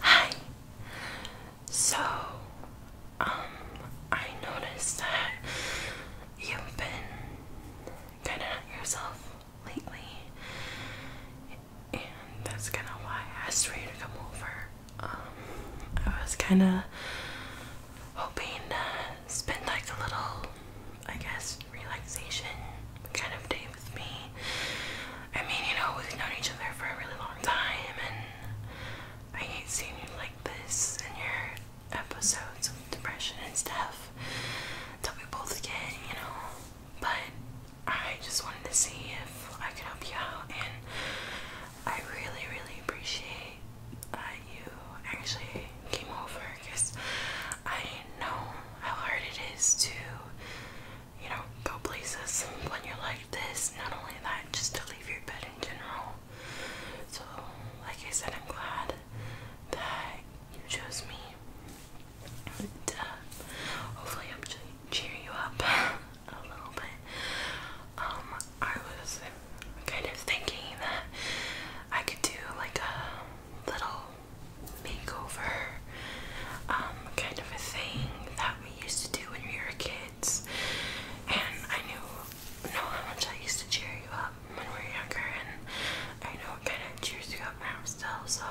Hi. So, um, I noticed that you've been kind of not yourself lately, and that's kind of why I asked for to come over. Um, I was kind of hoping to spend like a little, I guess, relaxation kind of day with me. I mean, you know, we've known each other for a really long time, and I hate seeing you like this in your episodes of depression and stuff that we both get, you know. But I just wanted to see if I could help you out, and I really, really appreciate that you actually came over because I know how hard it is to you know, go places when you're like this. Not only that, just to leave your bed in general. So, like I said, I'm glad that you chose me. And, uh, hopefully, I'm cheer you up a little bit. Um, I was kind of thinking that I could do like a little makeover um, kind of a thing that we used to do when we were kids. And I knew know how much I used to cheer you up when we were younger, and I know it kind of cheers you up now still. So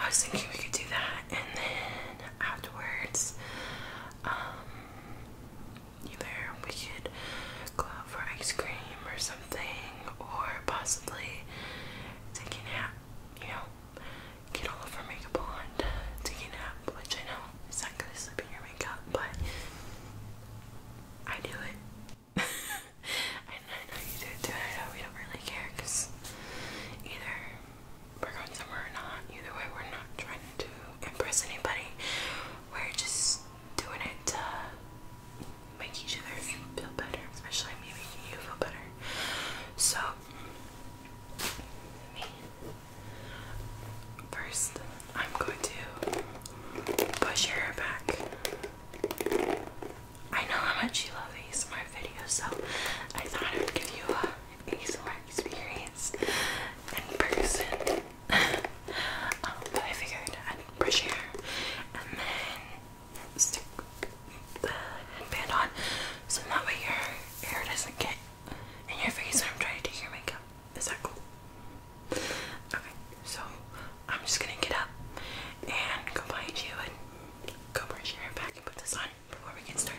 I was thinking we could do that, and then afterwards, um, either we could go out for ice cream or something, or possibly take a nap. You know, get all of our makeup on, take a nap, which I know it's not gonna slip in your makeup, but I do it. and I know you do it too, and I know we don't really care because either we're going somewhere or not. Either way, we're not trying to impress anybody. We're just doing it to make each other feel better, especially me making you feel better. So First, I'm going to push your hair back. I know how much you love these ASMR videos, so I thought I would give you a ASMR experience in person. Um, but I figured I'd push your hair and then stick the headband on so that way your hair doesn't get in your face when I'm trying to do your makeup. Is that cool? Okay, so I'm just gonna get up and go behind you and go brush your hair back and put this on before we get started.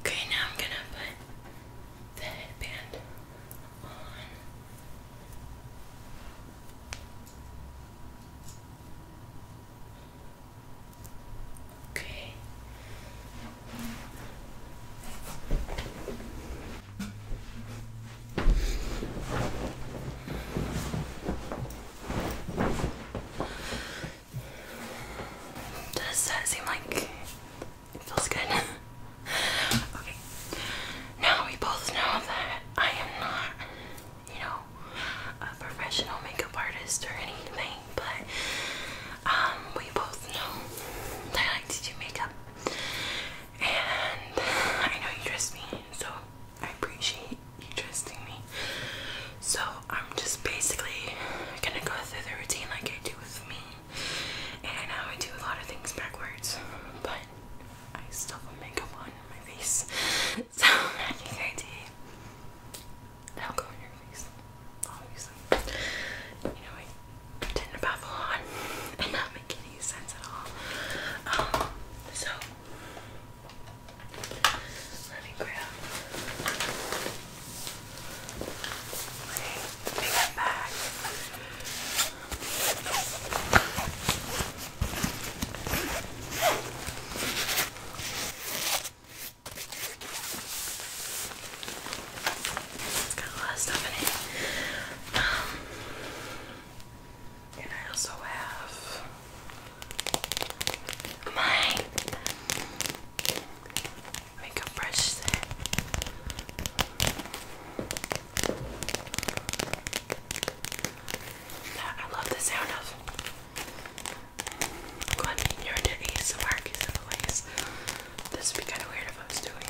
Okay, now I'm gonna put the headband on. Okay. Does that seem like it feels good. okay. Now we both know that I am not, you know, a professional makeup artist or anything, but um we both know that I like to do makeup. And I know you trust me, so I appreciate you trusting me. So I'm just basically gonna go through the routine like I do with me and I know I do a lot of things backwards, but I still have makeup on my face. So magic ID. That'll go in your face. Obviously. You know, I tend to baffle on and not make any sense at all. Um, so let me grab Okay, take that back. It's got a lot of stuff in it. Um, and I also have my we brush I love the sound of. Glad you're into ASMR because in the This would be kind of weird if I was doing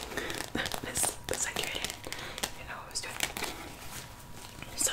this, this accurate. You know what I was doing. So.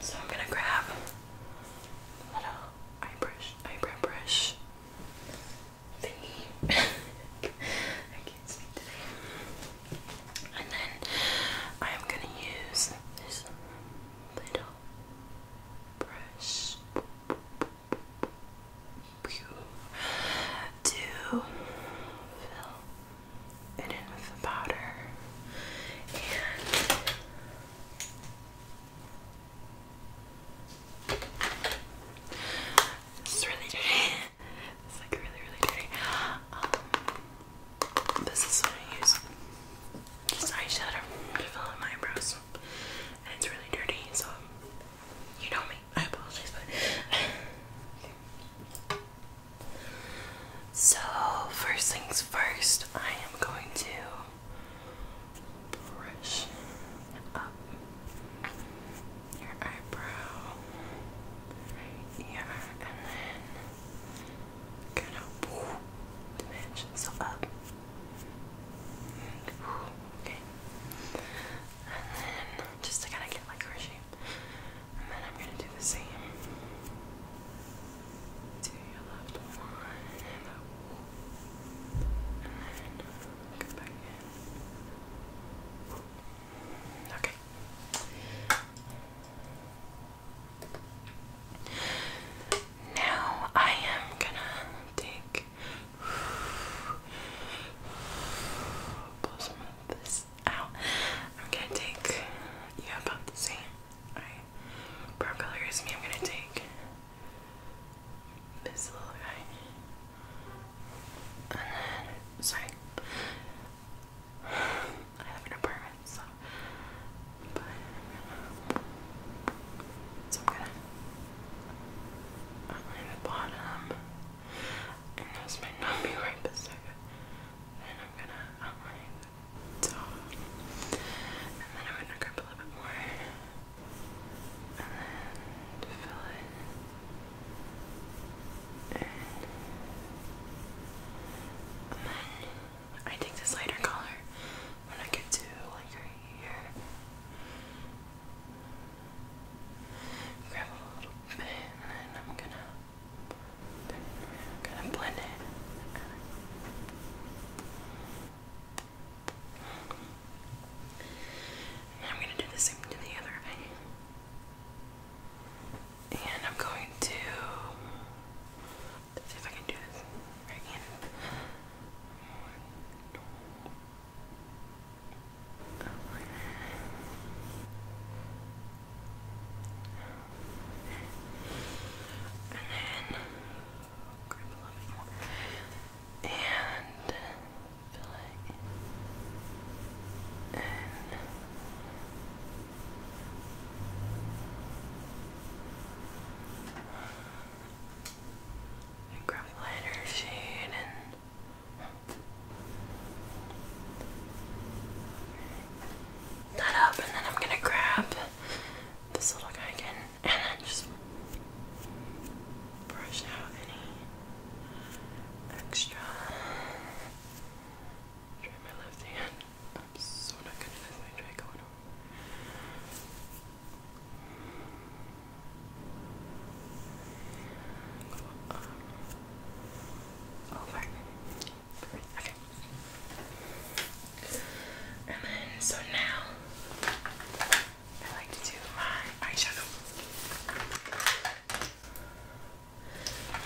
so I'm gonna grab little eye brush, eyebrow brush I can't speak today. And then I'm gonna use this little brush to fill and in with the powder and it's really dirty. It's like really, really dirty. Um, this is what I use. Just eyeshadow to my eyebrows, and it's really dirty. So you know me. I apologize, but so, first things first, I am going to brush up your eyebrow here and then kind of dimension so up. okay. And then just to kind of get like her shape. And then I'm gonna do the same to your left one, and then go back in. Okay. Now I am gonna take I'm gonna take yeah about the same. I brow color is me. I'm gonna take this little guy. And then, sorry, I have an apartment, so. But, I'm gonna outline the bottom, and might not be right beside it. Then I'm gonna outline so, and then I'm going to grip a little bit more and then fill it And then I take this lighter color when I get to like right here. Grab a little bit and then I'm gonna Gonna blend it. I'm gonna do the same to the other eye. And I'm going to see if I can do this right hand. And then And fill And grab a lighter shade and that up and then I'm gonna grab this little guy again and then just brush out any extra. Try my left hand. i so not good at this. I try going over. over. Oh, Okay. And then, so now I like to do my eyeshadow.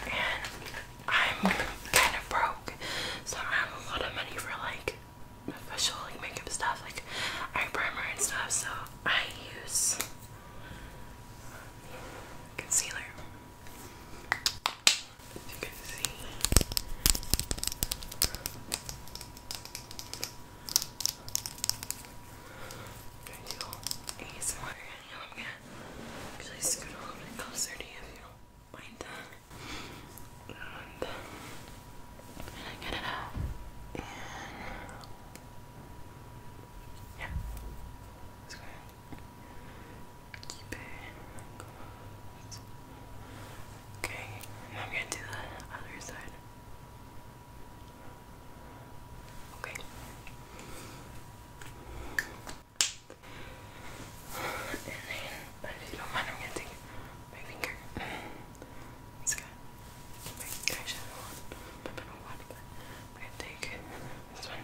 And I'm kind of broke, so I have a lot of money for like official like makeup stuff, like eye primer and stuff. So I use concealer if you can see. I'm gonna do you know, actually scoot a little bit closer to you if you don't mind that. And I'm gonna get it out. yeah. Let's go ahead. Keep it Okay, I'm gonna do the other side. Okay. And then, if you don't mind, I'm gonna take my finger. It's good. My eyeshadow on. I'm gonna take this one.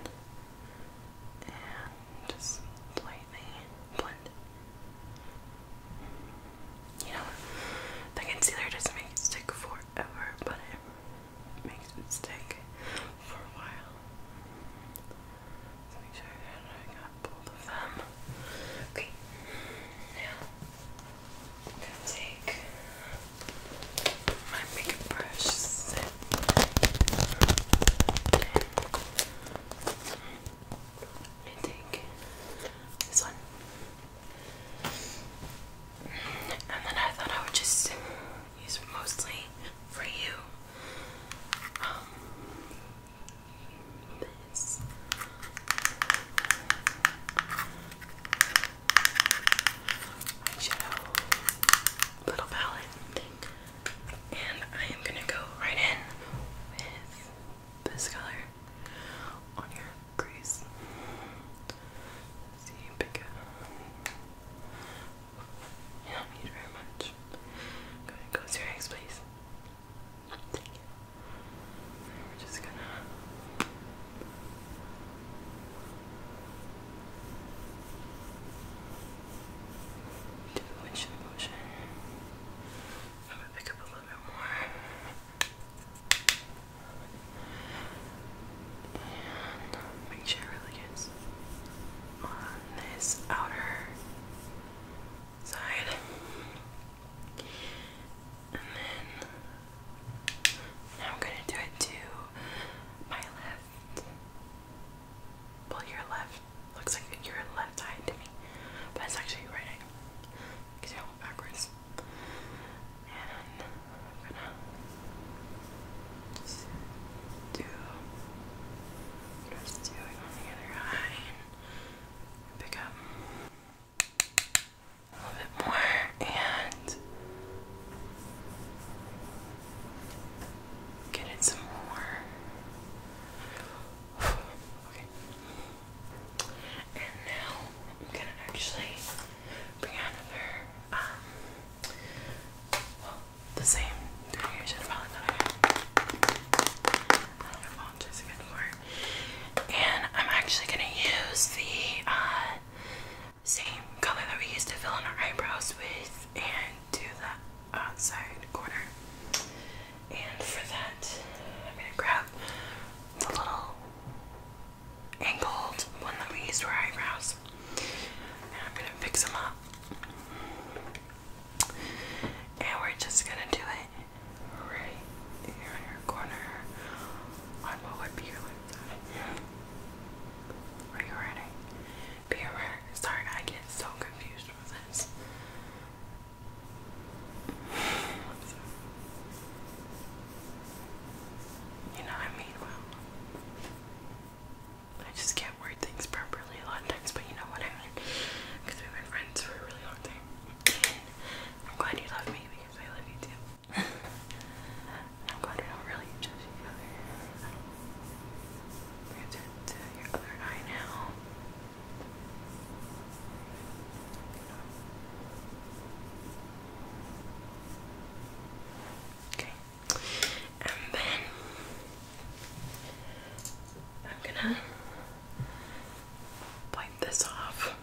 And just lightly blend. You know, the concealer doesn't make it stick forever, but it makes it stick for a while. Let's make sure I got both of them. Okay, now I'm gonna take my makeup brush me take this one. And then I thought I would just use mostly for you um, this. Eyeshadow little palette and I am gonna go right in with this color on your crease. See, pick up. You don't need very much. Go ahead, close your eyes, please. we're just gonna. Do the windshield motion. I'm gonna pick up a little bit more. make sure it really gets on this outer side. And then now I'm gonna do it to my left. Well, your left looks like your left eye to me, but it's actually your right eye because I went backwards. And I'm gonna do what doing on the other eye pick up a little bit more and get it some more. And now I'm gonna actually bring out another, um, the same foundation palette that I have. I don't apologize again for it. And I'm actually gonna use the uh, same color that we used to fill in our eyebrows with, and to the outside corner. And for that, I'm gonna grab the little angled one that we use for eyebrows. And I'm gonna fix them up. And we're just gonna do it right here in your corner on what would be your left side. Are you ready? Be aware. Sorry, I get so confused with this. You know, I mean, I just can't word things properly a lot of times, but you know what I mean? Because we've friends for a really long time. I'm glad you love me because I love you too. I'm glad we don't really judge each other. We're going to your other eye now and then I'm gonna wipe this off.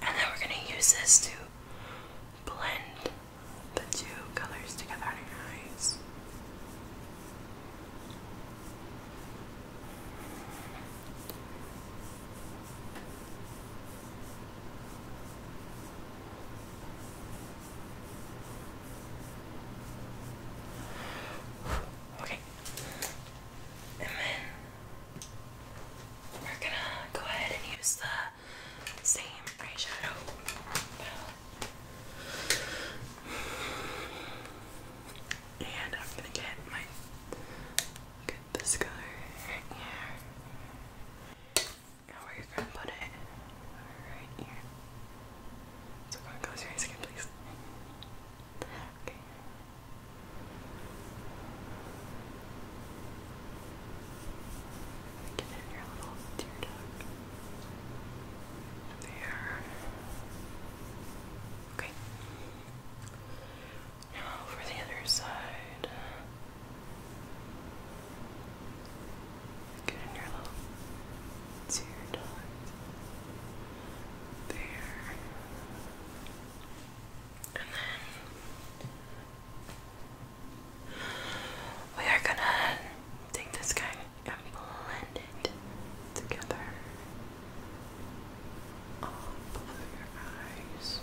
And then we're going to use this to blend the two colors together out your eyes. Okay, and we're gonna go ahead and use the same eyeshadow. And I'm gonna get my look this color right here. Now we're gonna put it right here. So close your eyes again, please. Okay. Get in your little tear duct. There. Okay. Now for the other side. Get in your little tear duct. There. And then we are gonna take this guy and blend it together all over your eyes.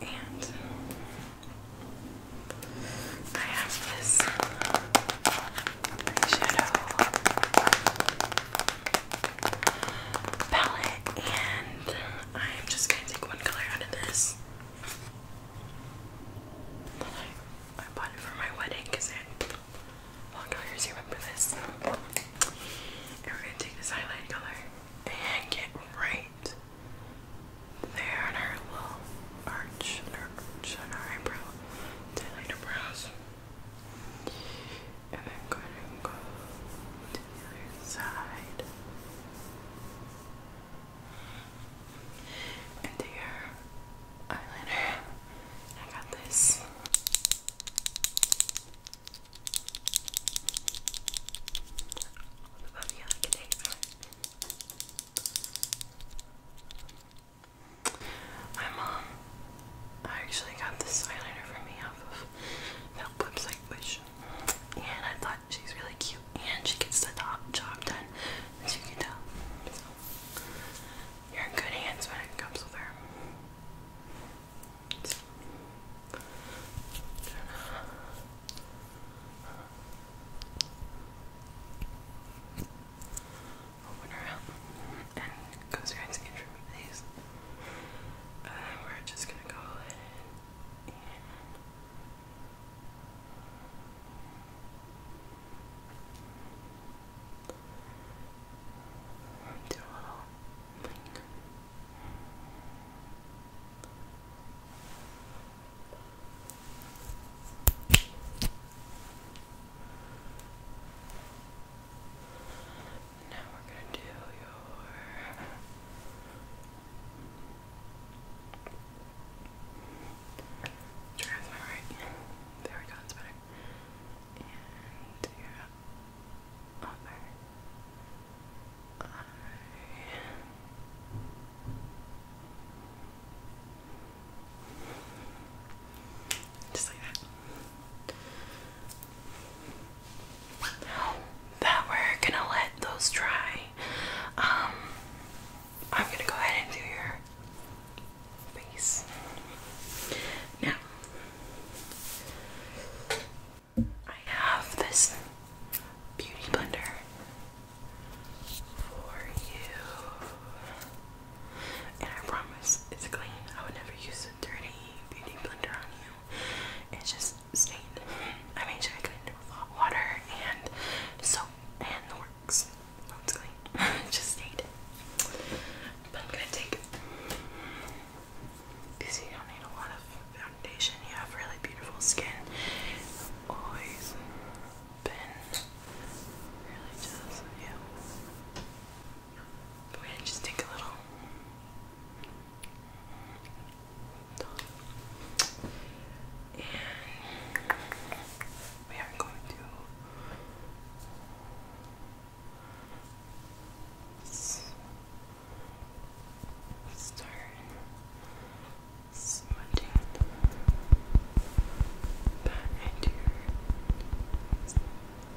And I have this eyeshadow palette, and I'm just gonna take one color out of this. I, bought it for my wedding because it long colors. You remember this? And we're gonna take this highlight color and get right there on our little arch, arch, on our eyebrow to highlight our brows and I'm going to go to the other side and take your eyeliner. I got this. Above you like my mom, I actually got this eyeliner for me off of that website, which, and I thought she's really cute, and she gets the top job done, as you can tell. you're in good hands when it comes with her open her up and goes right to get rid these. Uh, we're just gonna go and do a little blink. Now we're going to do your Try There we go, that's better. And your other eye. Just like that. That we're gonna let those dry. Um, I'm gonna go ahead and do your face now. I have this beauty blender for you, and I promise it's clean. I would never use this dirty beauty blender on you, it's just stained. I made sure I cleaned it with hot water and soap and the works. it's clean. just stained. But I'm gonna take because you don't need a lot of foundation. You have really beautiful skin. always been really jealous you we just take a little. And we are going to start smudging that into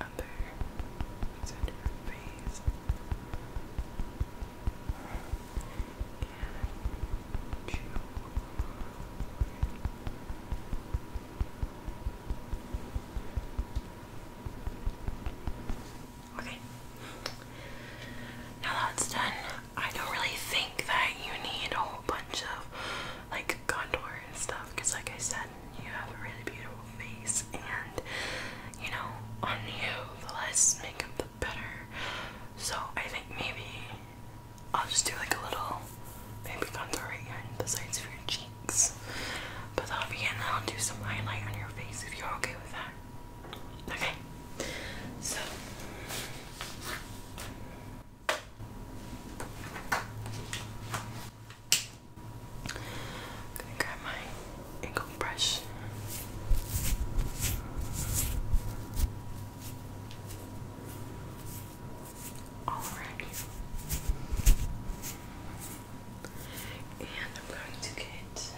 other center of face. And chew Okay. Now that's done, I don't really think that you need a whole bunch of like contour and stuff because, like I said, you have a really beautiful face, and you know, on you, the less makeup, the better. So I think maybe I'll just do like a little maybe contour the sides of your cheeks. But that'll be it, I'll do some highlight on your face if you're okay with that. Okay, so. I'm gonna grab my angle brush. All around And I'm going to get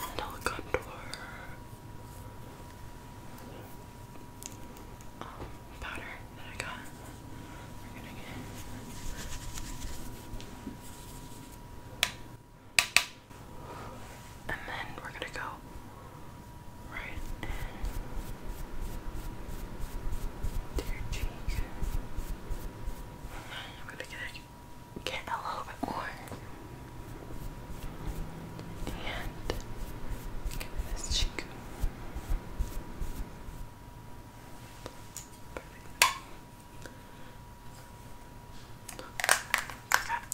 Mandela um, powder that I got. and then we're gonna go right to your cheek. I'm gonna get get a little bit more. And give me this cheek. Perfect. Got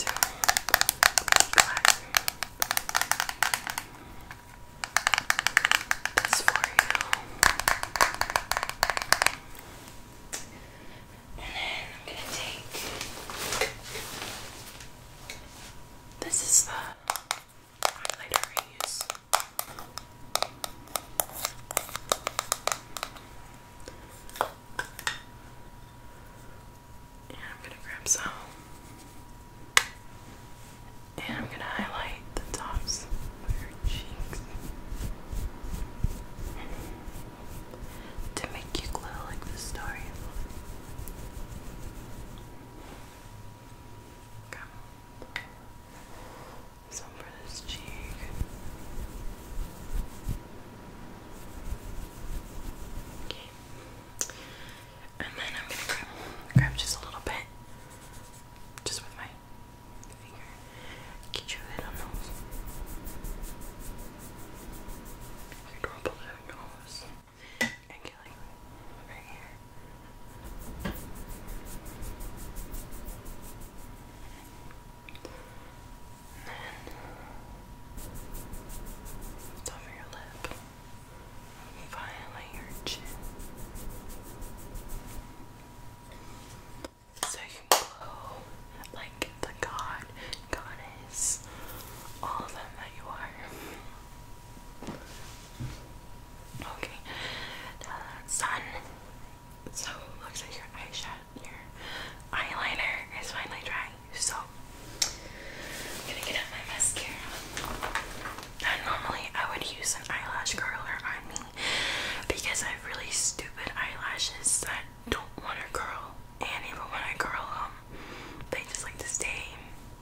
This for you. And then I'm gonna take. This is the highlighter I And I'm going to grab some. And I'm going to highlight the tops of your cheeks to make you glow like the story. Come Some for this cheek. And then I'm gonna grab, grab just a little bit, just with my finger. Get your head on those. Your nose and here. then top your lip. Finally your chin. So you glow like the god, goddess, all of them that you are. Okay, the So looks like your eyeshadow, your eyeliner is finally dry. So I'm gonna get out my mascara. And normally I would use an eyelash curler on me because I have really stupid eyelashes that don't want to curl, and even when I curl them, they just like to stay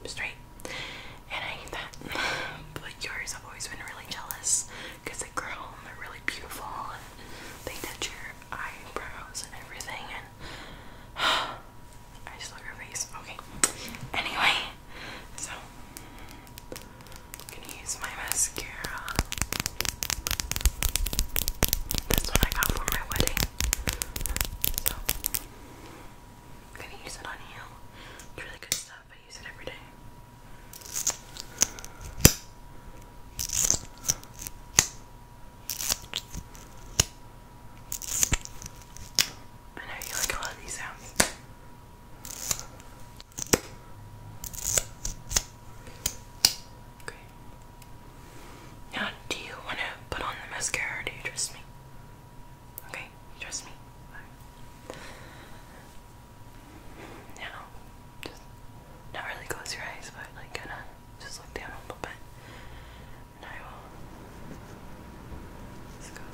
straight and I hate that. but yours, have always been really jealous because they grow and they're really beautiful and they touch your eyebrows and everything. And I just love your face. Okay. Anyway, so I'm gonna use my mascara. This one I got for my wedding. I'm gonna use it on you. It's really good stuff. I use it every day. I know you like a lot of these sounds. Okay. Now, do you want to put on the mascara do you trust me? Okay, trust me. Right. just not really close your eyes, but like kind of just look down a little bit. And I will. Let's go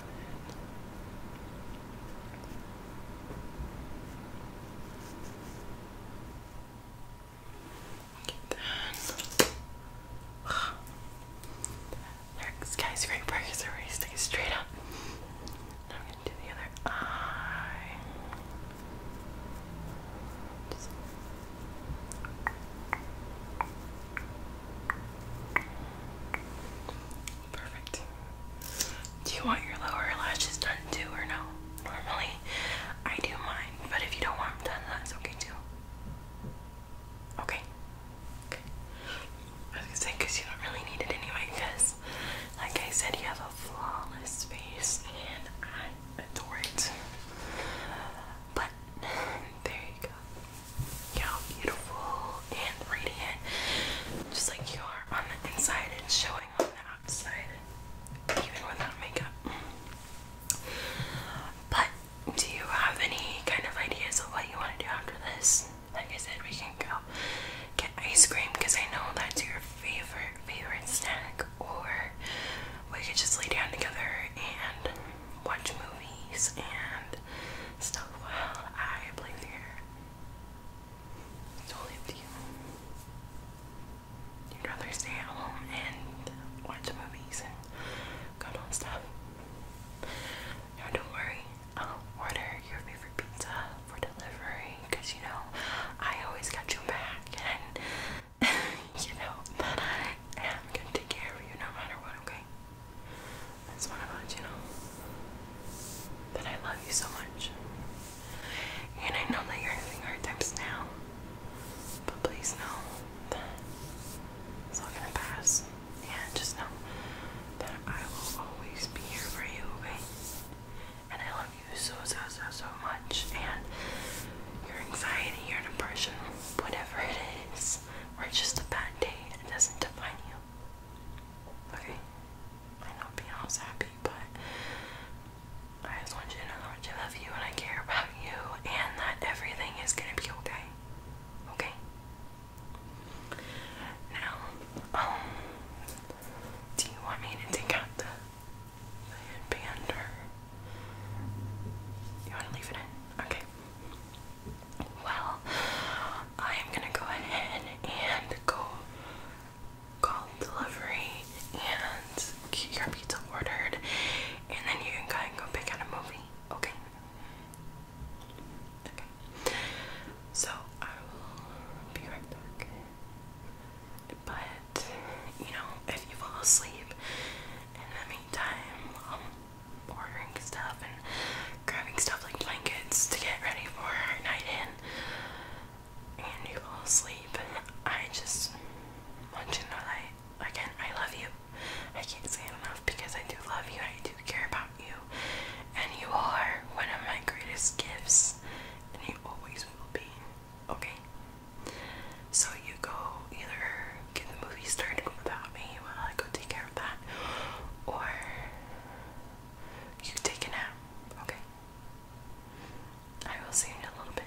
Get that. guys, Their skyscrapers are raising straight up. And I'm gonna do the other eye. Perfect. Do you want your lower lashes done too or no? Normally I do mine, but if you don't want them done, that's okay too. Okay. Okay. I was gonna say because you don't really need it anyway. Because, like I said, you have a flawless face, and I adore it. But there you go. You're beautiful and radiant, just like you are on the inside and showing on the outside, even without makeup. But do you have any kind of ideas of what you want to do after this? Like I said, we can go get ice cream because I know that's your favorite, favorite snack, or we could just lay down together and watch movies and stuff while I play the your hair. It's totally up to you. You'd rather stay at home and watch movies and go do stuff. No, don't worry. I'll order your favorite pizza for delivery because you know I always got your back, and you know that I am gonna take care of you no matter what. Okay? I just to let you know that I love you so much, and I know that you're having hard times now, but please know that it's all gonna pass. And just know that I will always be here for you, okay? And I love you so, so, so, so much. And your anxiety, your depression, whatever it is, or just a bad day, it doesn't define you. Okay? I am not know Beyonce's happy, but I just want you to know how much I love you and I care about you and that everything is gonna be okay. Okay? Now, um, do you want me to take out the, the headband you want to leave it in? Okay. Well, I am gonna go ahead and go call delivery and get your pizza ordered, and then you can go and go pick out a movie. Okay. Okay. So I will be right back. But you know, if you fall asleep in the meantime, I'm ordering stuff and grabbing stuff like blankets to get ready for our night in, and you fall asleep, I just want you to know again I love you. I can't say it enough because I do love you and I do care about you. And you are one of my greatest gifts. And you always will be. Okay? So you go either get the movie started without me while I go take care of that. Or you take a nap. Okay? I will see you in a little bit.